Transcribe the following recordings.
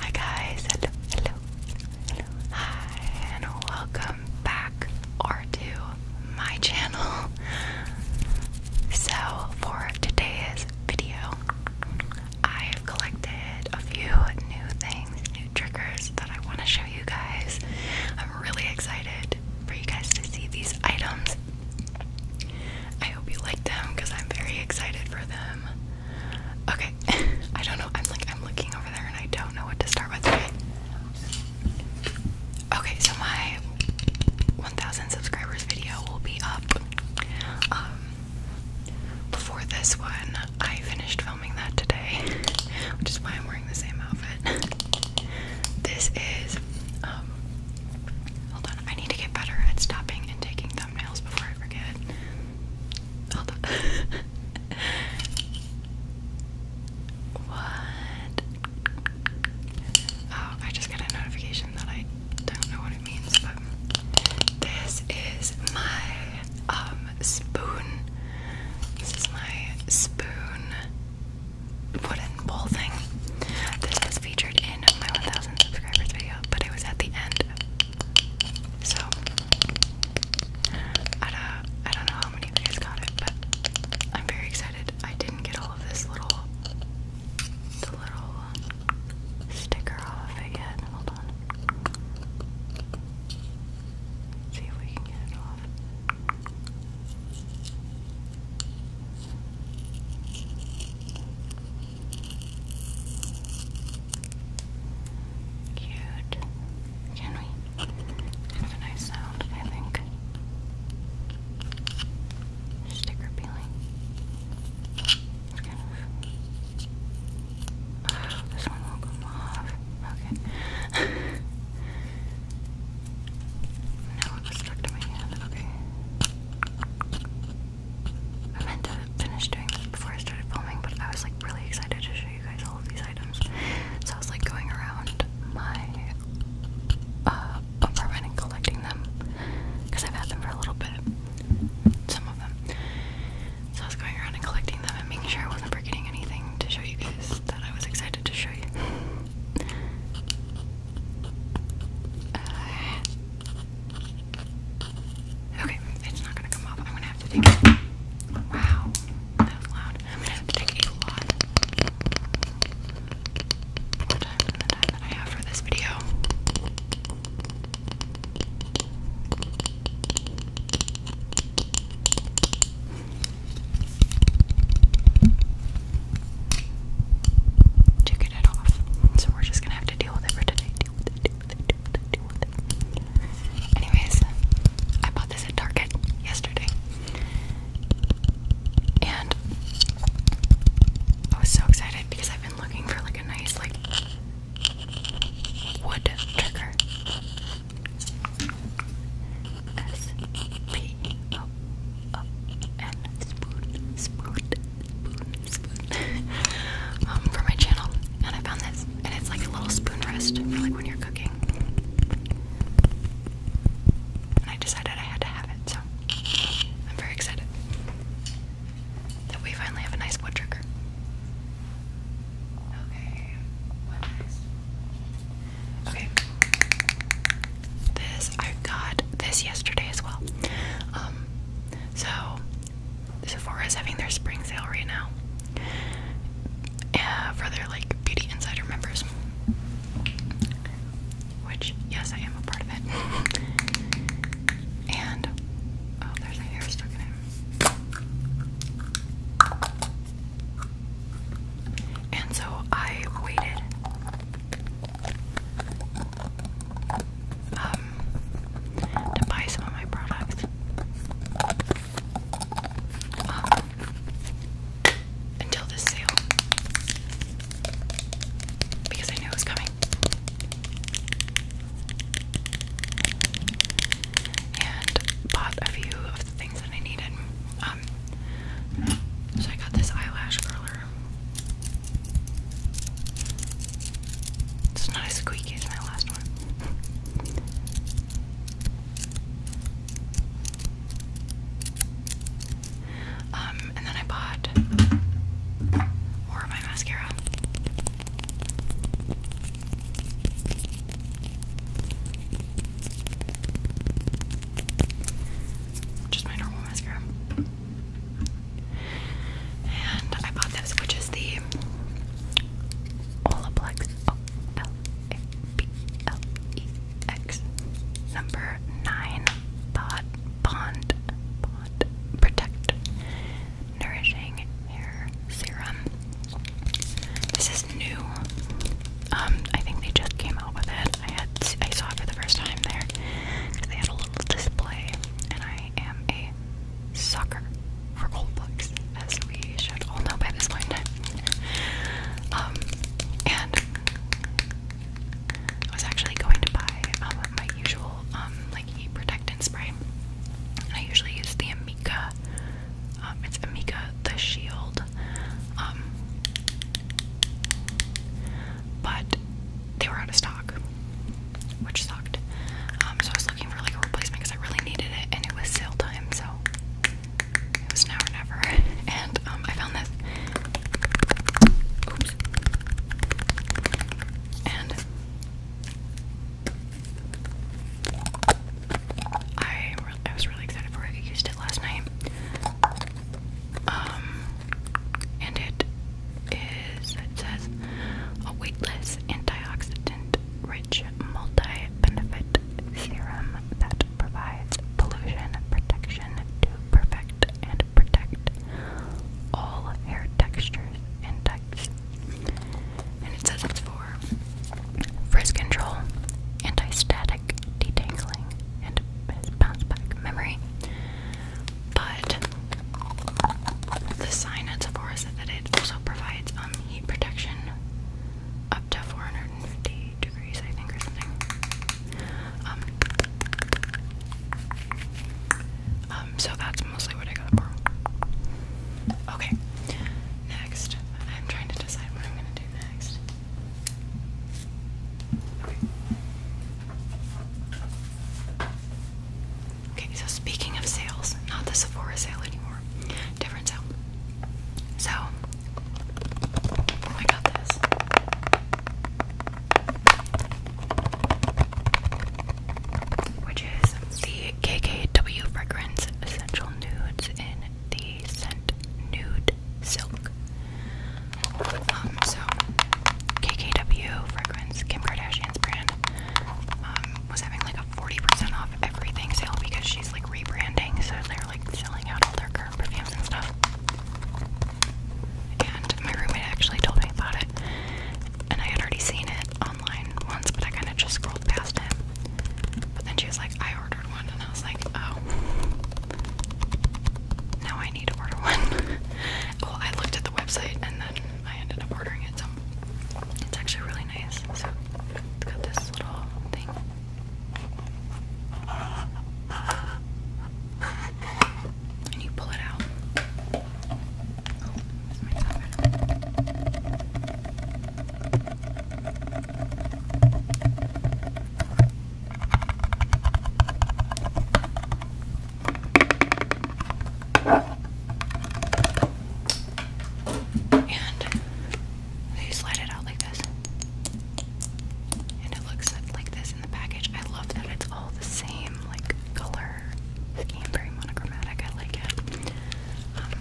Hi guys, hello, hello, hi, and welcome back or to my channel. So for today's video, I've collected a few new things, new triggers that I want to show you guys. I'm really excited for you guys to see these items. I hope you like them because I'm very excited for them. Okay. I don't know. I'm like I'm looking over there and I don't know what to start with. Okay. so my 1000 subscribers video will be up. Um before this one, I finished filming that today, which is why I'm wearing the same outfit. this is um Hold on, I need to get better at stopping and taking thumbnails before I forget. Hold on. what? Oh, I just got a notification that I don't know what it means, but this is my um spoon. This is my spoon wooden bowl thing. This was featured in my 1,000 subscribers video, but it was at the end so I don't, know how many guys got it, but I'm very excited. I didn't get all of this little the little um, sticker off it yet. Hold on. see if we can get it off. Cute. Can we? Kind a nice sound, I think. Sticker peeling. It's this one won't come off. Okay. now it stuck to my hand. Okay. I meant to finish doing this before I started filming, but I was like really excited to show you guys all of these items. So I was like going around my uh, apartment and collecting them because I've had them for a little bit, some of them. So I was going around and collecting them and making sure I wasn't forgetting anything to show you guys that I was excited to show you. Okay, it's not gonna come off. I'm gonna have to take it. Wow, that's loud. I'm gonna have to take a lot more time than the time that I have for this video. To get it off. So we're just gonna have to deal with it for today. Anyways, I bought this at Target yesterday. And I was so excited because I've been looking for like a nice like wood trigger. S P O O N spoon spoon spoon um, for my channel, and I found this, and it's like a little spoon rest for like when you're cooking. And I decided I had to have it, so I'm very excited that we finally have a nice wood trigger. Okay, what next? Okay, this I got this yesterday as well. Um, so Sephora's having their spring sale right now for their like Beauty Insider members. Which, yes, I am a part of it. and, oh, there's my hair stuck in it. And so I waited. Um, to buy some of my products. Um, until this sale. Because I knew it was coming. And bought a few of the things that I needed. Um, so I got this eyelash curler. It's not as squeaky as my last um, and then I bought more my mascara. Just my normal mascara. And I bought this, which is the Olaplex O oh, L A P L E X number nine Bond Bond Bond Protect Nourishing Hair Serum. This is new. Um, I think they just came out with it. I had I saw it for the first time there because they had a little display, and I am a sucker for old books, as we should all know by this point. um, and I was actually going to buy um, my usual um, like heat protectant spray. And I usually use the Amika. Um, it's Amika the Shield. Um, but they were out of stock which sucked. Um, so I was looking for like a replacement because I really needed it, and it was sale time, so it was now or never. Um, and I found this. And I was really excited for it. I used it last night. Um, and it it says a weightless antioxidant rich multi benefit serum that provides pollution protection to perfect and protect all hair textures and types. And it says it's for frizz control, anti static detangling, and bounce back memory. But the sign at Sephora said that it also provides um, heat protection up to 450 degrees, I think, or something. Um, um, so that's mostly what I got for. Okay, next. I'm trying to decide what I'm gonna do next. Okay, so speaking of sales, not the Sephora sale anymore, different sale. So, I oh got this. Which is the KKW Fragrance Essential Nudes in the scent Nude Silk. Um, so, KKW Fragrance, Kim Kardashian's brand, um, was having like a 40% off everything sale because she's like rebranding, so they're like selling out all their current perfumes and stuff. And my roommate actually told me about it, and I had already seen it online once, but I kind of just scrolled past it. But then she was like, I ordered one, and I was like, oh. Now I need to order one. well, I looked at the website and then I ended up ordering it it's actually really nice. So it's got this little thing. And you pull it out and you slide it out like this. And it looks like this in the package. I love that it's all the same, like color scheme, very monochromatic. I like it. Um,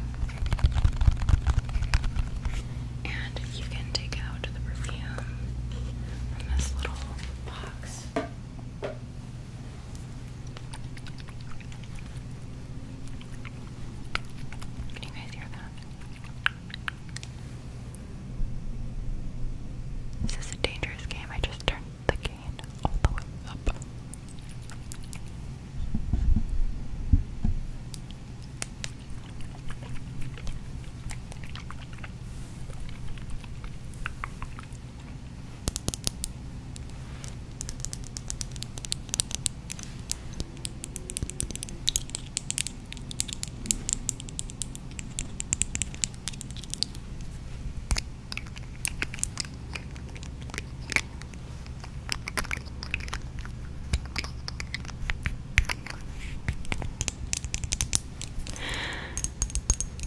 and you can take out the perfume from this little box. Can you guys hear that? This is a dangerous game. I just turned the gain all the way up.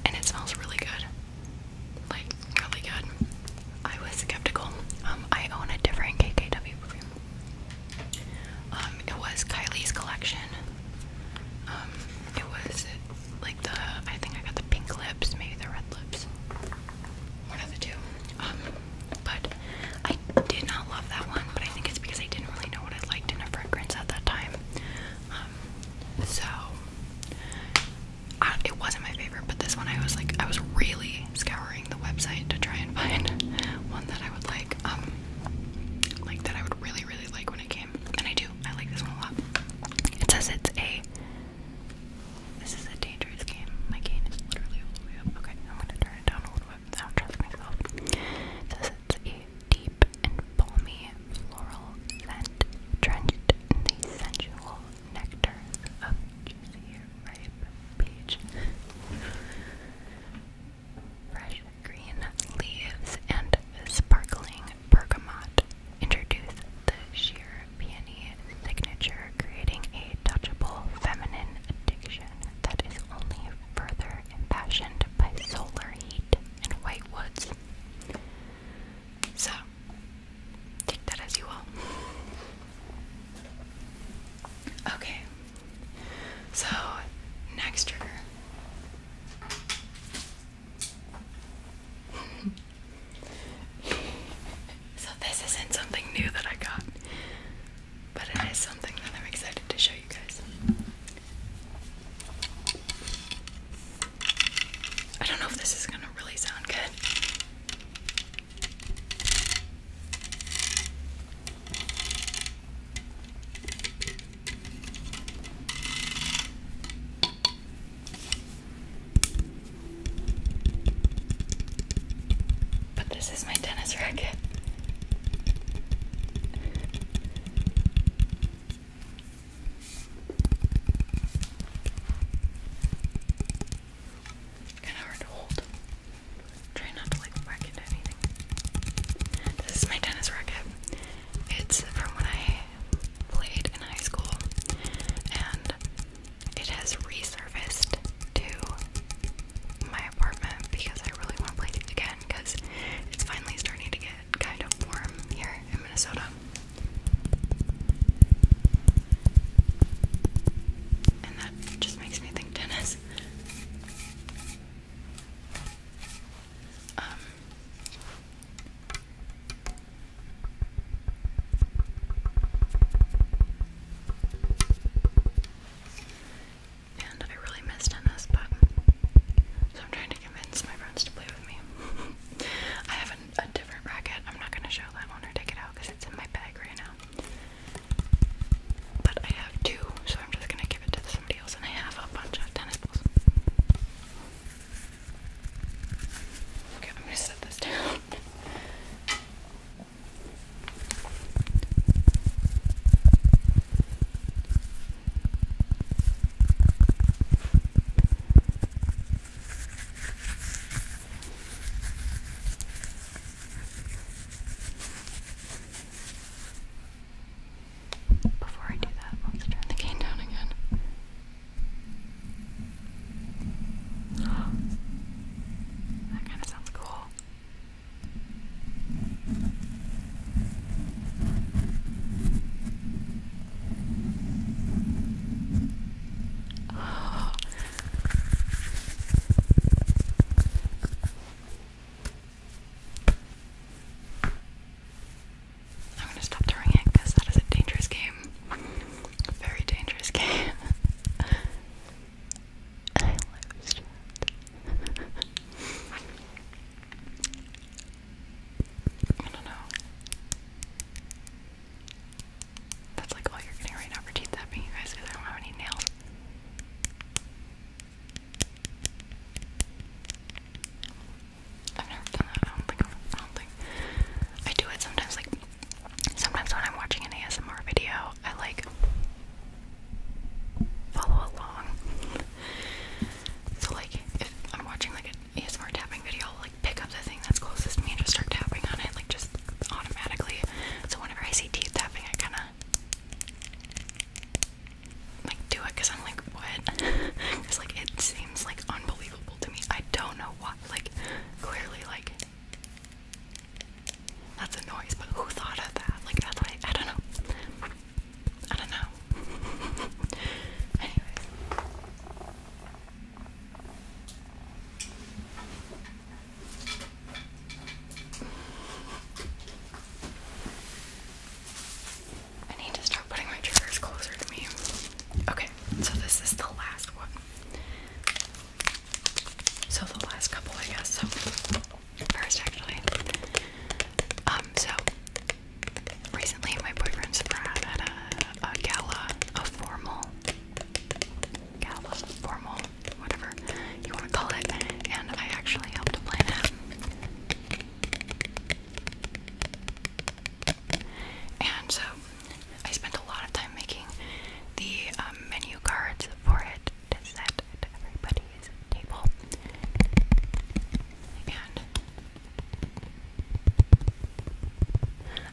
And it smells really good like really good. I was skeptical. Um, I own a different KKW perfume. Um, it was Kylie's collection. Um, it was like the I think I got the pink lips, maybe the red lips. One of the two. but I did not love that one, but I think it's because I didn't really know what I liked in a fragrance at that time. so I, it wasn't my favorite, but this one I was like, I was really scouring the website to try and find one that I would like, um, like that I would really, really like when it came. And I do, I like this one a lot. It says it's a. This is a dangerous game. My gain is literally all the way up. Okay, I'm gonna turn it down a little bit. I don't trust myself. It says it's a deep and balmy floral scent drenched in the sensual nectars of juicy ripe peach. Fresh green leaves and sparkling bergamot introduce the sheer peony signature, creating a touchable feminine addiction that is only further impassioned by solar heat and white woods. So, take that as you will. Okay, so next trigger. so, this isn't something new that I got, but it is something that I'm excited to show you guys. I don't know if this is gonna really sound good. But this is my tennis racket. Kinda hard to hold. Try not to like whack into anything. This is my tennis racket. It's from when I played in high school and it has resurfaced to my apartment because I really want to play it again because it's finally starting to get kind of warm here in Minnesota. And that just makes me think tennis. Um, and I really miss tennis, but so I'm trying to convince my friends to play with me. I haven't a different racket. I'm not gonna show that one or take it out because it's in my bag right now. But I have two, so I'm just gonna give it to somebody else, and I have a bunch of tennis balls. Okay, I'm gonna set this down. Before I do that, let's turn the cane down again. that kind of sounds cool. Oh, I'm gonna stop throwing it because that is a dangerous game. very dangerous game. I don't know. That's like all you're getting right now for teeth tapping, you guys, because I don't have any nails. I've never done that. I don't think. I do it sometimes. Like sometimes when I'm watching an ASMR video, I like follow along. so like if I'm watching like an ASMR tapping video, pick up the thing that's closest to me and just start tapping on it, like just automatically. So whenever I see teeth tapping, I kind of like do it because I'm like, what? Because like it seems like unbelievable to me. I don't know why. Like clearly, like that's a noise, but who thought of that? Like that's what I, I don't know. I don't know. Anyways. I need to start putting my triggers closer to me. Okay, so this is the last one. So the last couple, I guess. So first, actually, um, so recently my boyfriend surprised me at a gala, a formal gala, formal, whatever you want to call it, and I actually helped plan it. And so I spent a lot of time making the um, menu cards for it to set at everybody's table. And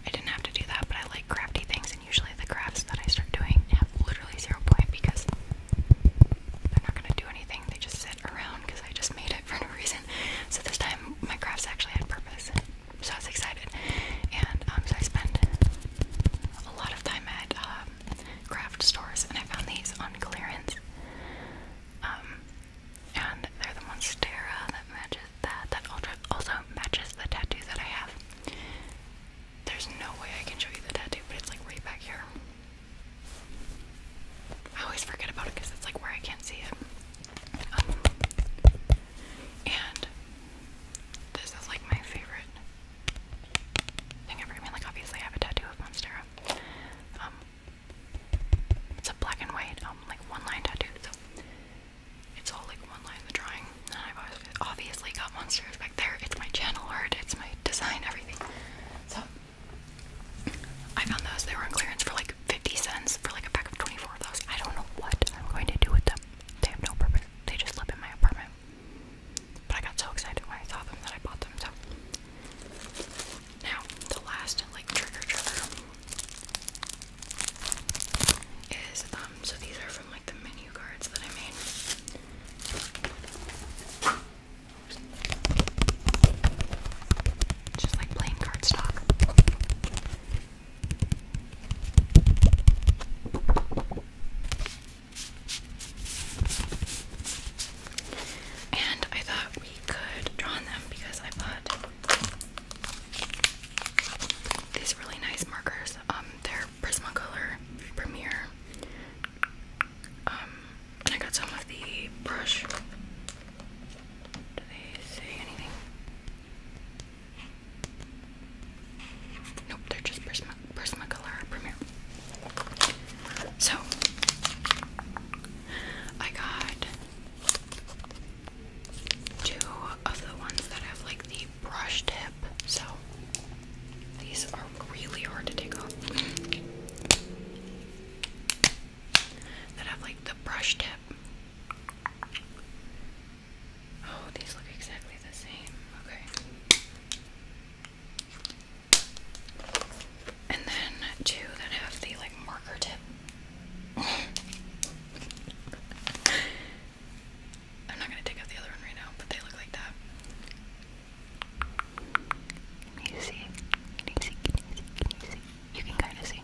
I didn't have to do that, but I like crafty things and usually the crafts that I start doing have literally zero point because they're not gonna do anything. They just sit around because I just made it for no reason. So this time my crafts actually had purpose, so I was excited. And um, so I spent a lot of time at um, craft stores, and I found these on clearance. Um, and they're the Monstera that matches that. That also matches the tattoo that I have. There's no way I can show you the tattoo, but it's like right back here. I always forget about it because it's like where I can't see it. Um, and this is like my favorite thing ever. I mean, like obviously I have a tattoo of Monstera. Um, it's a black and white, um, like one line tattoo. So it's all like one line in the drawing. And I've obviously got monsters back there. It's my channel art, it's my design, everything. So I found those. They were on clearance for like 50 cents for like a pack of 24 of those. I don't know what I'm going to do with them. They have no purpose. They just live in my apartment. But I got so excited when I saw them that I bought them. So now the last like trigger trigger um, so these are from like the menu cards that I made. Just like plain cardstock. And I thought we could draw on them because I bought these really nice markers. Um, they're Prismacolor Premier. Um, I got some of the brush. Do they say anything? Nope, they're just Prismacolor Premier. So I got two of the ones that have like the brush tip, so these are really hard to take off. that have like the brush tip. Oh, these look exactly the same. Okay. And then two that have the like marker tip. I'm not gonna take out the other one right now, but they look like that. Can you see? Can you see? Can you see? you can kind of see.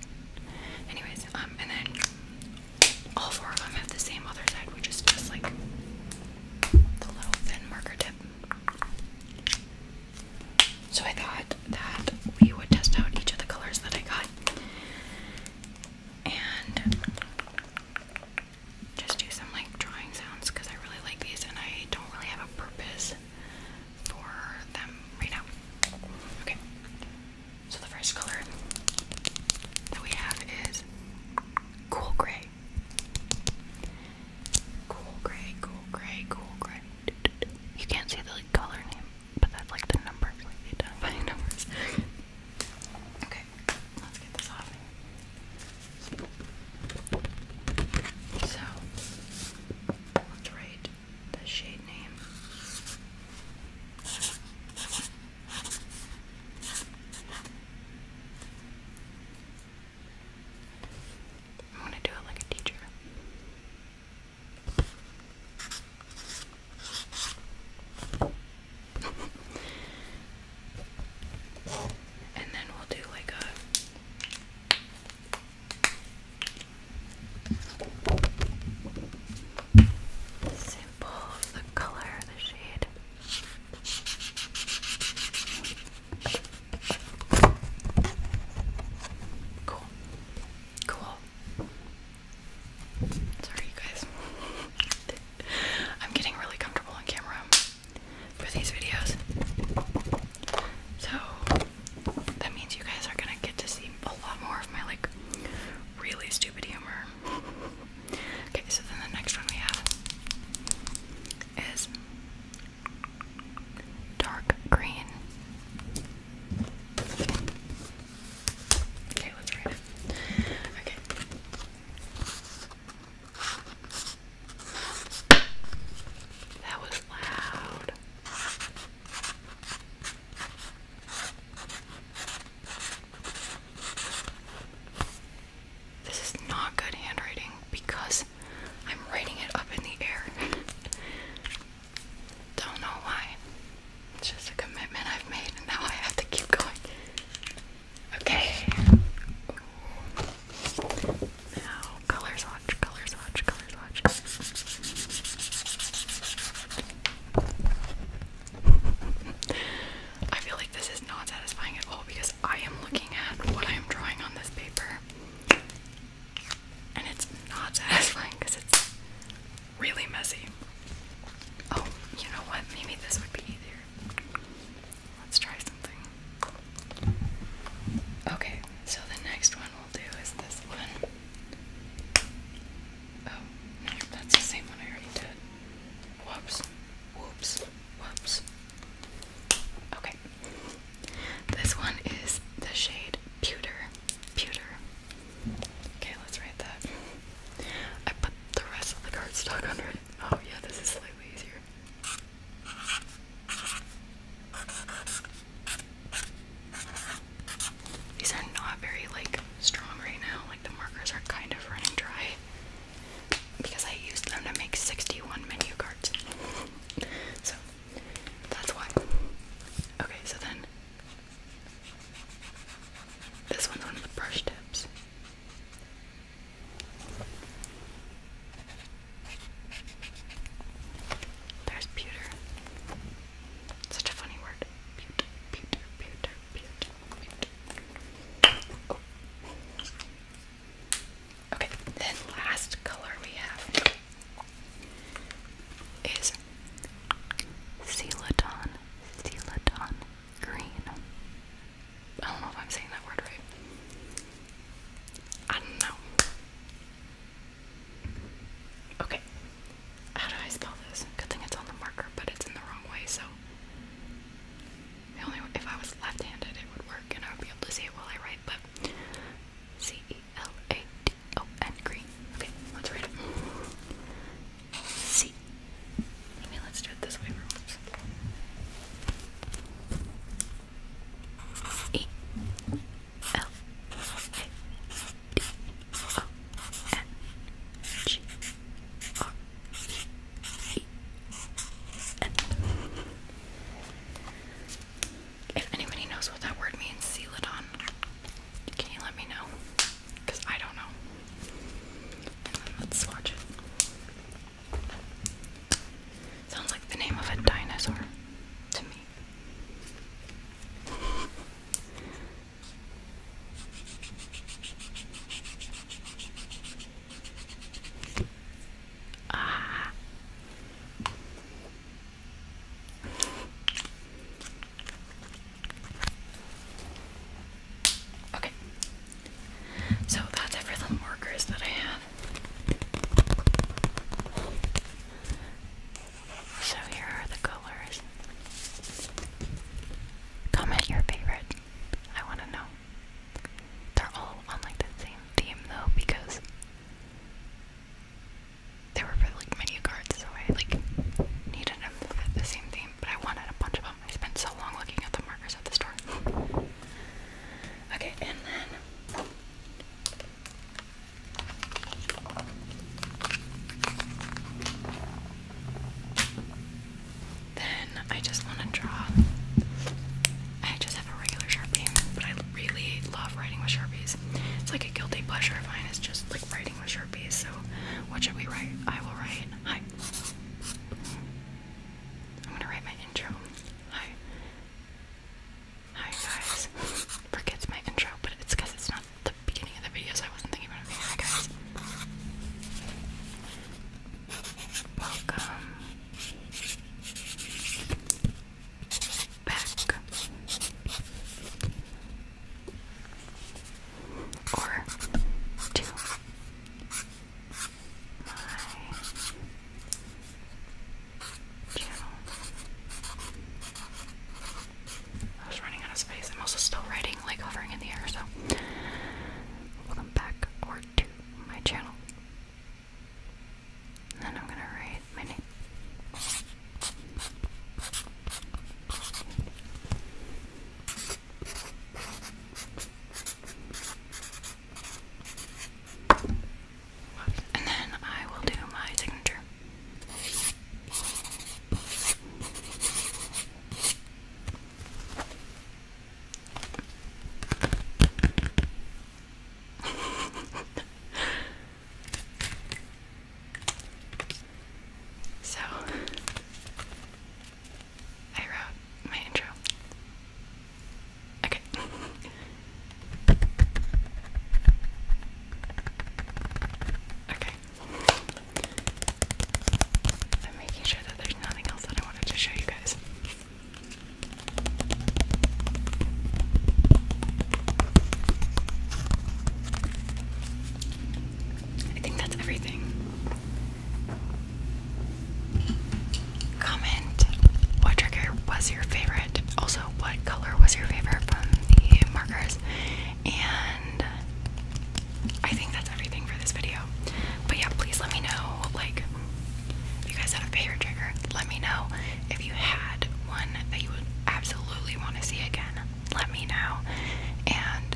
Anyways, um, and then all four of them have the same other side, which is just like the little thin marker tip. So I thought that we would test out each of the colors that I got and just do some like drawing sounds because I really like these and I don't really have a purpose for them right now. Okay, so the first color that we have is cool gray. Cool gray, cool gray, cool gray. You can't see the like, color name but that's like the number, like numbers. okay, let's get this off. So, let's write the shade name. I'm going to do it like a teacher. And then we'll do like a simple the color, the shade. Cool. Cool. Sorry, guys. I'm getting really comfortable on camera for these videos. So that means you guys are gonna get to see a lot more of my like really stupid humor. Okay, so then the next one we have is dark green. Okay, let's write it. Okay. That was loud. This is not good handwriting because I'm writing it up in the air. Don't know why. It's just a commitment I've made, and now I have to keep going. Okay. Now, colors watch, colors watch, colors watch. I feel like this is not satisfying at all because I am looking at what I am drawing on this paper. And it's not satisfying because it's really messy. Oh, you know what? Maybe this would be easier. Let's try something. Okay, so the next one we'll do is this one. Oh, no, that's the same one I already did. Whoops, whoops, whoops. Okay, this one is the shade Pewter. Pewter. Okay, let's write that. I the rest of the cardstock under it. Oh yeah, this is slightly easier. These are not very like strong right now. Like the markers are kind of running dry because I used them to make 61 menu cards. so that's why. Okay, so then this one's one the brush tips. There's pewter. Such a funny word. Okay, then last color we have is Celadon, Celadon, green. I don't know if I'm saying that word right. I don't know. Okay. How do I spell this? Good thing it's on the marker, but it's in the wrong way, so the only if I was left-handed it would work and I would be able to see it while I write, but C E L A D O N green. Okay, let's read it see. I let's do it this way for once. E L A D O N G R E N. If anybody knows what that word means, seal Can you let me know? because I don't know. let's swatch Sounds like the name of a dinosaur to me. ah. Okay. So that's it for the markers that I have. So here are the colors. Comment your favorite. I want to know. They're all on like the same theme though because they were for like menu cards, so I like needed them that fit the same theme, but I wanted a bunch of them. I spent so long looking at the markers at the store. okay, and then then I just want to draw. I just have a regular sharpie, but I really love writing with sharpies. It's like a guilty pleasure of mine. It's just like writing with sharpies. So, what should we write? I will write. Hi. I'm gonna write my intro. Hi. Hi guys. Forgets my intro, but it's because it's not the beginning of the video, so I wasn't thinking about Hi guys. Welcome back or to my channel. I was running out of space. I'm also still writing, like hovering in the air, so welcome back or to my channel. then I'm gonna write my name. And then I will do my signature. so I wrote my intro. Okay. okay. I'm making sure that there's nothing else that I wanted to show you guys. I think that's everything. Comment what trigger was your favorite. Also, what color was your favorite from the markers? And I think that's everything for this video. But yeah, please let me know like you guys had a favorite trigger. Let me know if you had one that you would absolutely want to see again. Let me know. And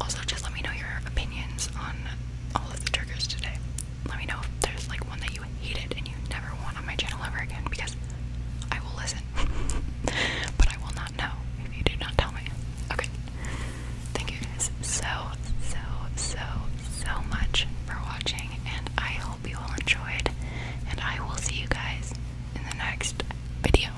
also, just let me know your opinions on all the triggers today. Let me know if there's like one that you hated and you never want on my channel ever again because I will listen. but I will not know if you do not tell me. Okay. Thank you guys so, so, so, so much for watching and I hope you all enjoyed and I will see you guys in the next video.